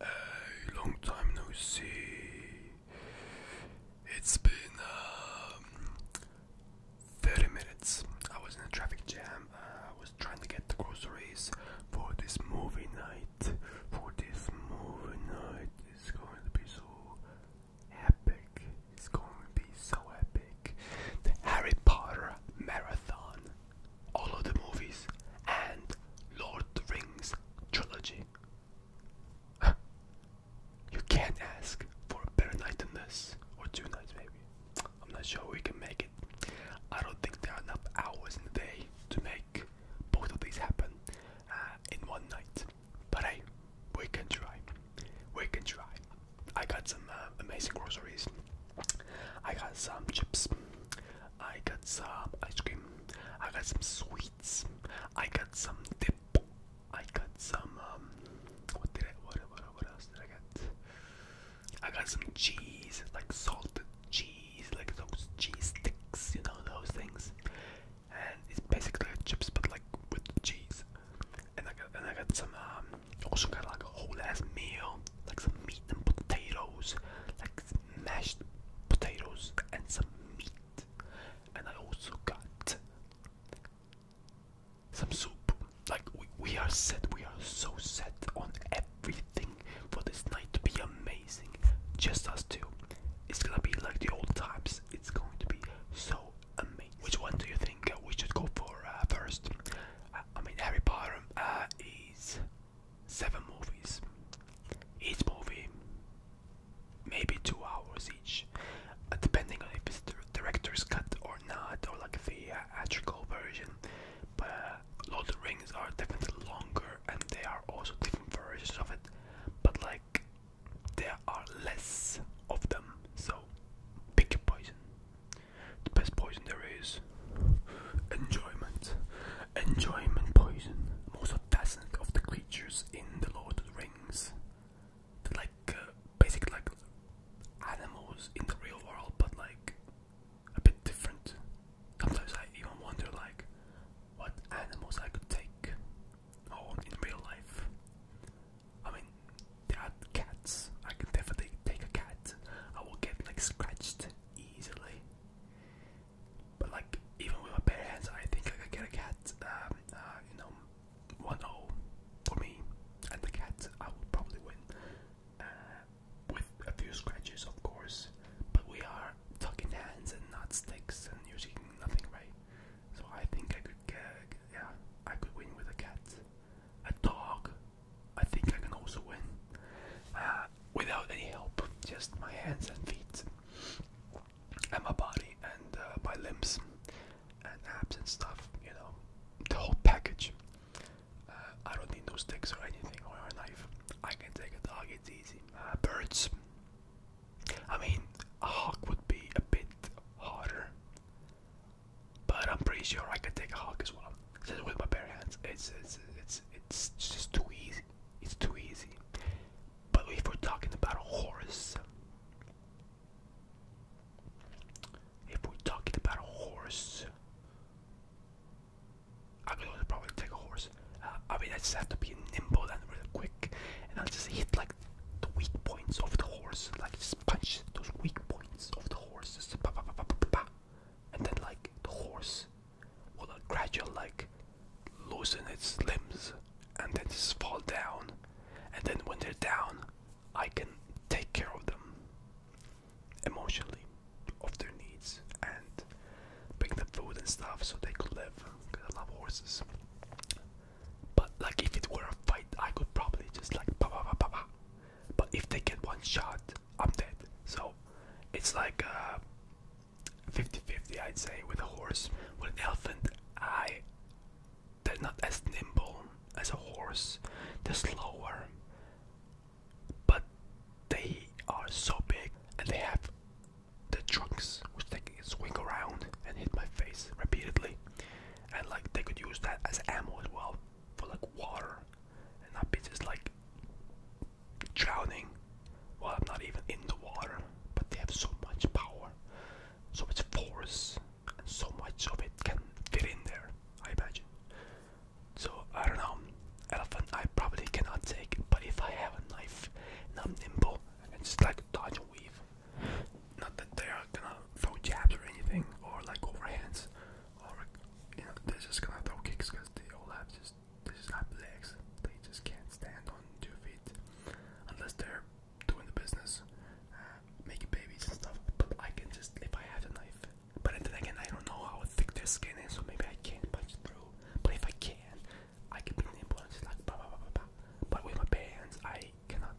Hey, long time no see. It's been um, 30 minutes. I was in a traffic jam. I was trying to get the groceries for this movie night. For this movie night, it's going to be so epic. It's going to be so epic. The Harry Potter marathon all of the movies and Lord of the Rings trilogy. you can't ask for a better night than this, or two nights maybe. I'm not sure we can make it. I don't think there are enough hours in the day to make both of these happen uh, in one night. But hey, we can try. We can try. I got some uh, amazing groceries. I got some chips. I got some ice cream. I got some sweets. I got some dip. I got some um what did I what what what else did I get? I got some cheese, like salted cheese, like those cheese sticks, you know those things. And it's basically like chips but like with cheese. And I got and I got some um also got like a whole ass meal, like some meat and potatoes, like mashed potatoes and some meat. And I also got some soup. Like we, we are set, we are so set on everything for this night to be amazing. Just us two. It's gonna be like the old times. It's going to be so amazing. Which one do you think we should go for uh, first? Uh, I mean, Harry Potter uh, is seven movies. Each movie, maybe two hours each, uh, depending on if it's the director's cut or not, or like the uh, theatrical version. But uh, Lord of the Rings are definitely longer, and they are also different versions of it. But like, there are less of them, so pick a poison. The best poison there is enjoyment. Enjoyment. poison. Most fascinating of the creatures in the Lord of the Rings. like, uh, basically like animals in the real world, but like a bit different. Sometimes I even wonder like what animals I could take home in real life. I mean, there are cats. I can definitely take a cat. I will get like scratched easily. But like even with my bare hands, I think I could get a cat. Um, uh, you know, one 0 for me, and the cat I would probably win uh, with a few scratches, of course. But we are tucking hands and not sticks and using nothing, right? So I think I could get, yeah, I could win with a cat. A dog I think I can also win uh, without any help, just my hands and feet, and my body, and uh, my limbs, and abs and stuff, you know, the whole package. Uh, I don't need no sticks or anything, or a knife. I can take a dog, it's easy. birds. I mean, a hawk would be a bit harder, but I'm pretty sure I could take a hawk as well, just with my bare hands. It's it's it's it's just too easy. It's too easy. But if we're talking about a horse, if we're talking about a horse, I'm gonna probably take a horse. Uh, I mean, I just have to be nimble and really quick, and I'll just hit like the weak points of the horse, like just punch those weak points of the horse, just pa pa pa pa pa, and then like the horse will gradually like loosen its limbs and then just fall down. And then when they're down, I can take care of them emotionally, of their needs, and bring them food and stuff so they could live. Because I love horses. But like if it were a fight, I could probably just like pa pa pa pa pa. But if they get one shot, I'm dead. So it's like 50-50 uh, I'd say with a horse. With an elephant, they're not as nimble as a horse. They're slower, but they are so big and they have the trunks which they can swing around and hit my face repeatedly. And like they could use that as ammo as well for like water and that bitch is like drowning. Well, I'm not even in the water, but they have so much power, so much force, and so much of it can fit in there, I imagine. So, I don't know, elephant I probably cannot take, but if I have a knife and I'm nimble, and can just like dodge and weave. Not that they are gonna throw jabs or anything, or like overhands, or you know, they're just gonna throw kicks because they all have just they just have legs. They just can't stand on two feet unless they're doing the business, uh, making babies and stuff. But I can just if I have a knife. But then again, I don't know how thick their skin is, so maybe I can't punch through. But if I can, I can be nimble and just like bah, bah, bah, bah, But with my pants, I cannot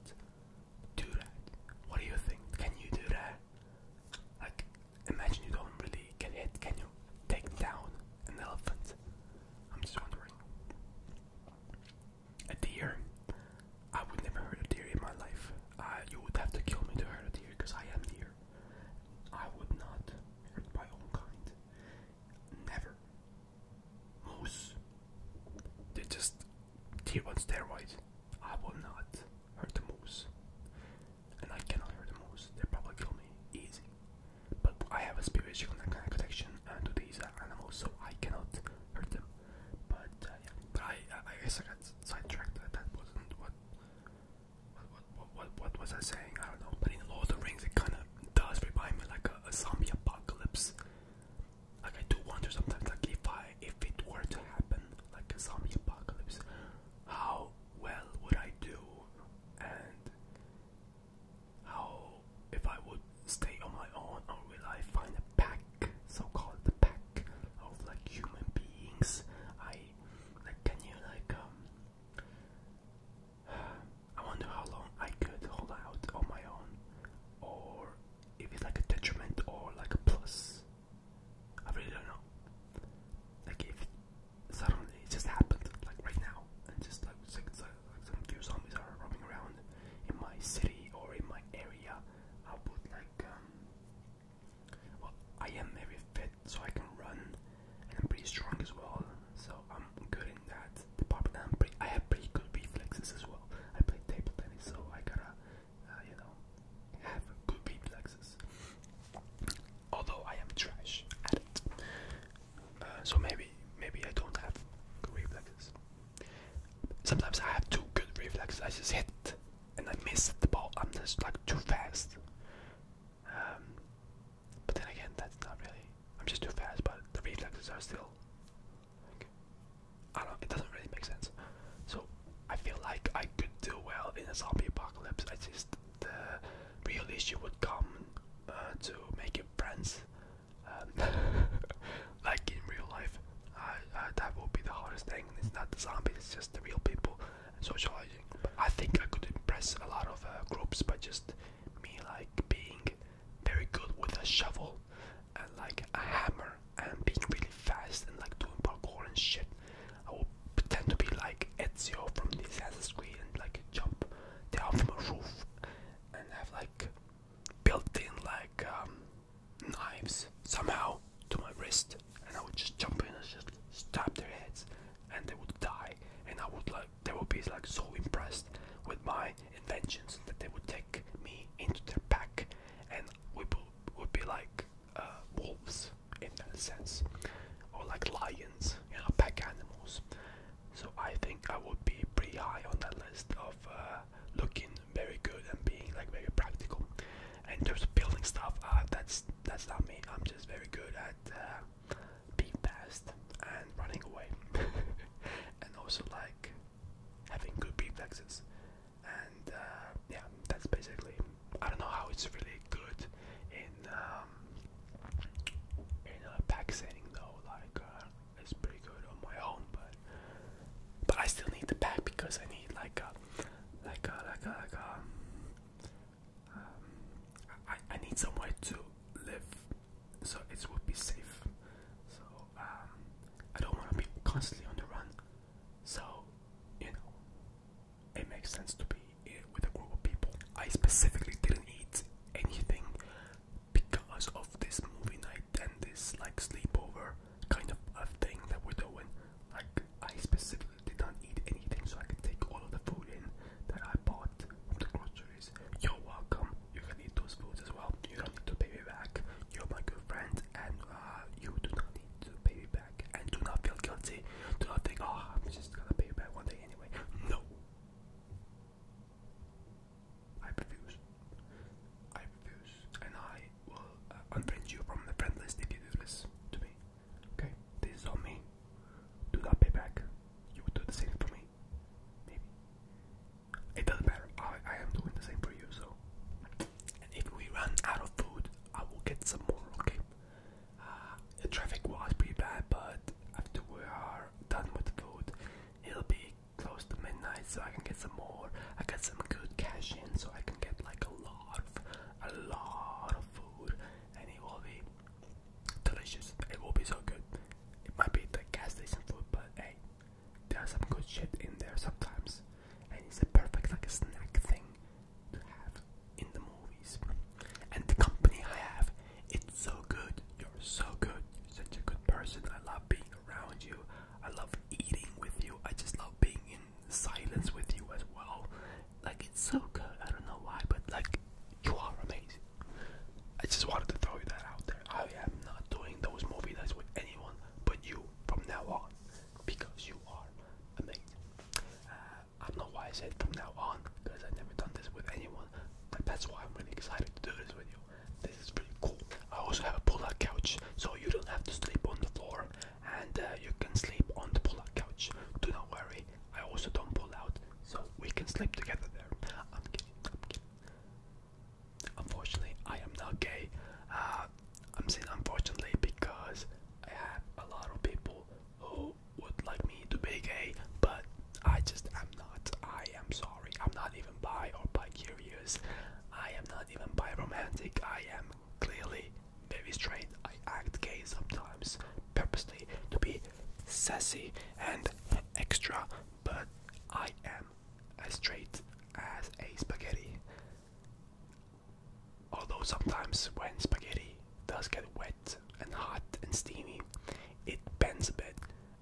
do that. What do you think? Can you do that? Like, Imagine you don't really get hit. Can you take down an elephant? I'm just wondering. A deer? I would never hurt a deer in my life. Uh, you would have to kill me to hurt a deer because I am deer. I would not hurt my own kind. Never. Moose. They're just deer on steroids. I will not hurt the moose and I cannot hear the moose, they probably kill me easy. But I have a spiritual kind of connection uh, to these animals, so I cannot hurt them. But uh, yeah, but I, I guess I got sidetracked. That, that wasn't what what, what what what was I saying? I don't know. But in Lord of the Rings, it kind of does remind me like a zombie apocalypse. Like I do wonder sometimes, like if I if it were to happen, like a zombie apocalypse, how well would I do and how if I would stay on my own or will I find a pack so-called the pack of like human beings I like can you like um I wonder how long I could hold out on my own or if it's like a detriment or like a plus I really don't know. Like if suddenly it just happened, like right now, and just like, like, like some zombies are roaming around in my city or in my area, I will put like um. Well, I am very fit, so I can run, and I'm pretty strong as well. So I'm good in that The problem I have pretty good reflexes as well. I play table tennis, so I gotta uh, you know, have good reflexes. Although I am trash at it, uh, so maybe maybe I don't have good reflexes. Sometimes I have too good reflexes. I just hit and I miss the ball. I'm just like too fast. Um, but then again, that's not really. I'm just too fast, but the reflexes are still. I don't. It doesn't really make sense. So I feel like I could do well in a zombie apocalypse. I just the real issue would come uh, to making friends, um, like in real life. Uh, that would be the hardest thing. It's not the zombies. It's just the real people socializing. I think I could impress a lot of uh, groups by just me like being very good with a shovel and like a hammer and being really fast and like doing parkour and shit. I will pretend to be like Ezio from the Assassin's Creed and like jump down from a roof and have like built in like um, knives somehow to my wrist and I would just jump in and just stab their heads and they would die and I would like they would be like so impressed with my inventions that they would take me into their pack and we would be like uh, wolves in that sense, or like lions, you know, pack animals. So I think I would be pretty high on that list of uh, looking very good and being like very practical. in terms of building stuff, uh, that's that's not me. I'm just very good at uh, being fast and running away, and also like having good reflexes and uh, yeah, that's basically. I don't know how it's really good in um, in uh, pack setting though. Like uh, it's pretty good on my own, but but I still need the pack because I need like a uh, like a like a like a. Um, need somewhere to live, so it would be safe. So um, I don't want to be constantly on the run. So, you know, it makes sense to be with a group of people. I specifically didn't eat anything because of this movie night and this like sleepover kind of a thing that we're doing. Like, I specifically did not eat anything so I could take all of the food in that I bought from the groceries. You're welcome. You can eat those foods as well. You don't need to pay me back. You're my good friend, and uh, you do not need to pay me back. And do not feel guilty. Do not think, oh, I'm just gonna pay you back one day anyway. No. I refuse. I refuse. And I will uh, unfriend you from the friend list if you do this to me. Okay? This is on me. Do not pay back. You would do the same for me. Maybe. It doesn't matter. I, I am doing the same for you, so and if we run out of food, I will get some more. Okay. Uh, the traffic was pretty bad, but after we are done with food, it'll be close to midnight, so I can get some more. I got some good cash in, so I can get like a lot, of, a lot of food, and it will be delicious. It will be so good. It might be the gas station food, but hey, there's some good shit in there sometimes, and it's a perfect like a snack thing to have in the movies. And the company I have, it's so good. You're so good. You're such a good person. I love being around you. I love eating with you. I just love being in silence with you as well. Like it's so good. I don't know why, but like you are amazing. I just wanted to throw that out there. I am not doing those movie nights with anyone but you from now on because you are amazing. Uh, I don't know why I said from now on because I've never done this with anyone, but that's why I'm really excited to do this with you. This is pretty cool. I also have a pull-out couch, so you don't have to sleep on the floor, and uh, you can sleep on the pull-out couch. Do not worry. I also don't pull out, so we can sleep together there. I'm kidding. I'm kidding. Unfortunately, I am not gay. Uh, I'm saying unfortunately because I have a lot of people who would like me to be gay, but I just am not. I am sorry. I'm not even bi or bi curious. I am not even bi romantic. I am clearly very straight. I act gay sometimes purposely to be sassy and extra, but I am as straight as a spaghetti. Although sometimes when spaghetti does get wet and hot and steamy, it bends a bit,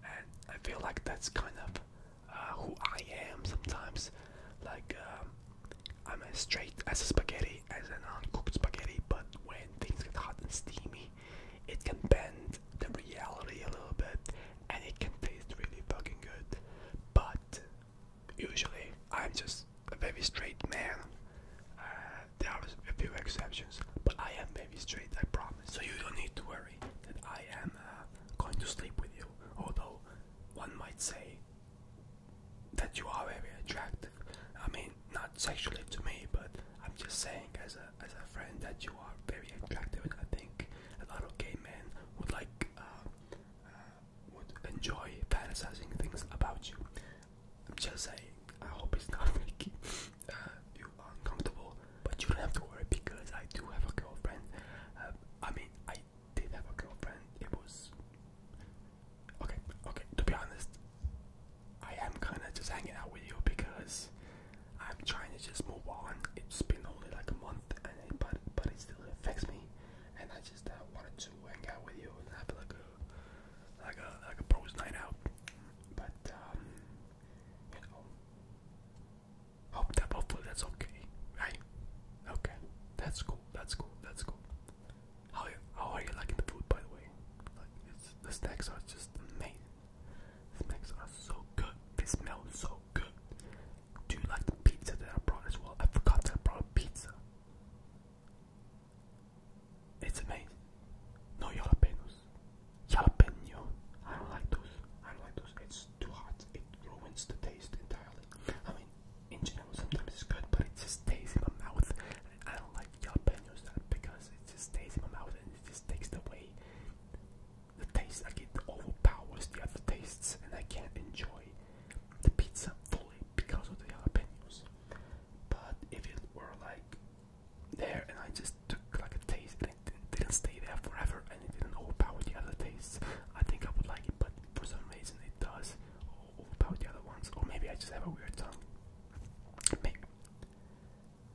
and I feel like that's kind of uh, who I am sometimes. Like um, I'm as straight as a spaghetti, as an uncooked spaghetti, but when things get hot and steamy, it can bend the reality a little bit, and it can taste really fucking good. But usually, I'm just a very straight man. Uh, there are a few exceptions, but I am very straight, I promise. So you don't need to worry that I am uh, going to sleep with you. Although one might say that you are very attractive. I mean, not sexually to me, but I'm just saying as a as a friend that you are very attractive, and I think a lot of gay men would like uh, uh, would enjoy fantasizing things about you. I'm just saying. I hope it's not making uh, you uncomfortable, but you don't have to worry because I do have a girlfriend. Uh, I mean, I did have a girlfriend. It was okay. Okay, to be honest, I am kind of just hanging out with you because I'm trying to just move on. It's been only like a month, but but it still affects me. And I just uh, wanted to hang out with you and have like a like a like a pros night out. But um, you know, hope that hopefully that's okay, right? Okay, that's cool. That's cool. That's cool. How how are you liking the food, by the way? Like the snacks are just amazing. The snacks are so good. They smell so good. Do you like the pizza that I brought as well? I forgot that I brought a pizza. It's amazing. No jalapenos. Jalapeno. I don't like those. I don't like those. It's too hot. It ruins the taste entirely. I mean, in general, sometimes it's good, but it just stays in my mouth. And I don't like jalapenos that because it just stays in my mouth and it just takes away the taste I get overpowers the other tastes, and I can't enjoy the pizza fully because of the jalapenos. But if it were like there, and I just took like a taste, and it didn't, stay there forever, and it didn't overpower the other tastes, I think I would like it. But for some reason, it does overpower the other ones, or maybe I just have a weird tongue.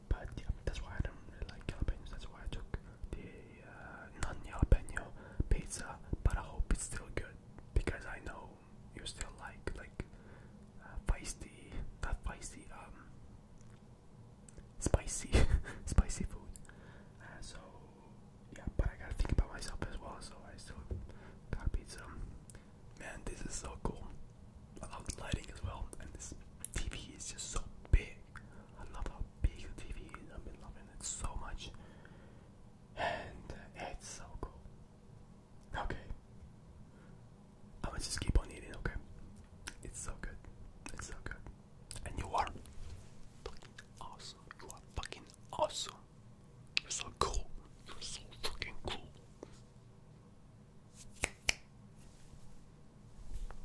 But yeah, that's why I don't really like jalapenos. That's why I took the uh, pizza, but I hope it's still good because I know you still like uh, feisty, um, spicy, spicy food. so yeah, but I gotta think about myself as well. So I still got pizza. Man, this is so cool. I love the lighting as well, and this TV is just so big. I love how big the TV is. I've been loving it so much. And it's so cool. Okay. I'ma just keep on eating, okay? It's so good. It's so good. And you are fucking awesome. You are fucking awesome. You're so cool. You're so fucking cool.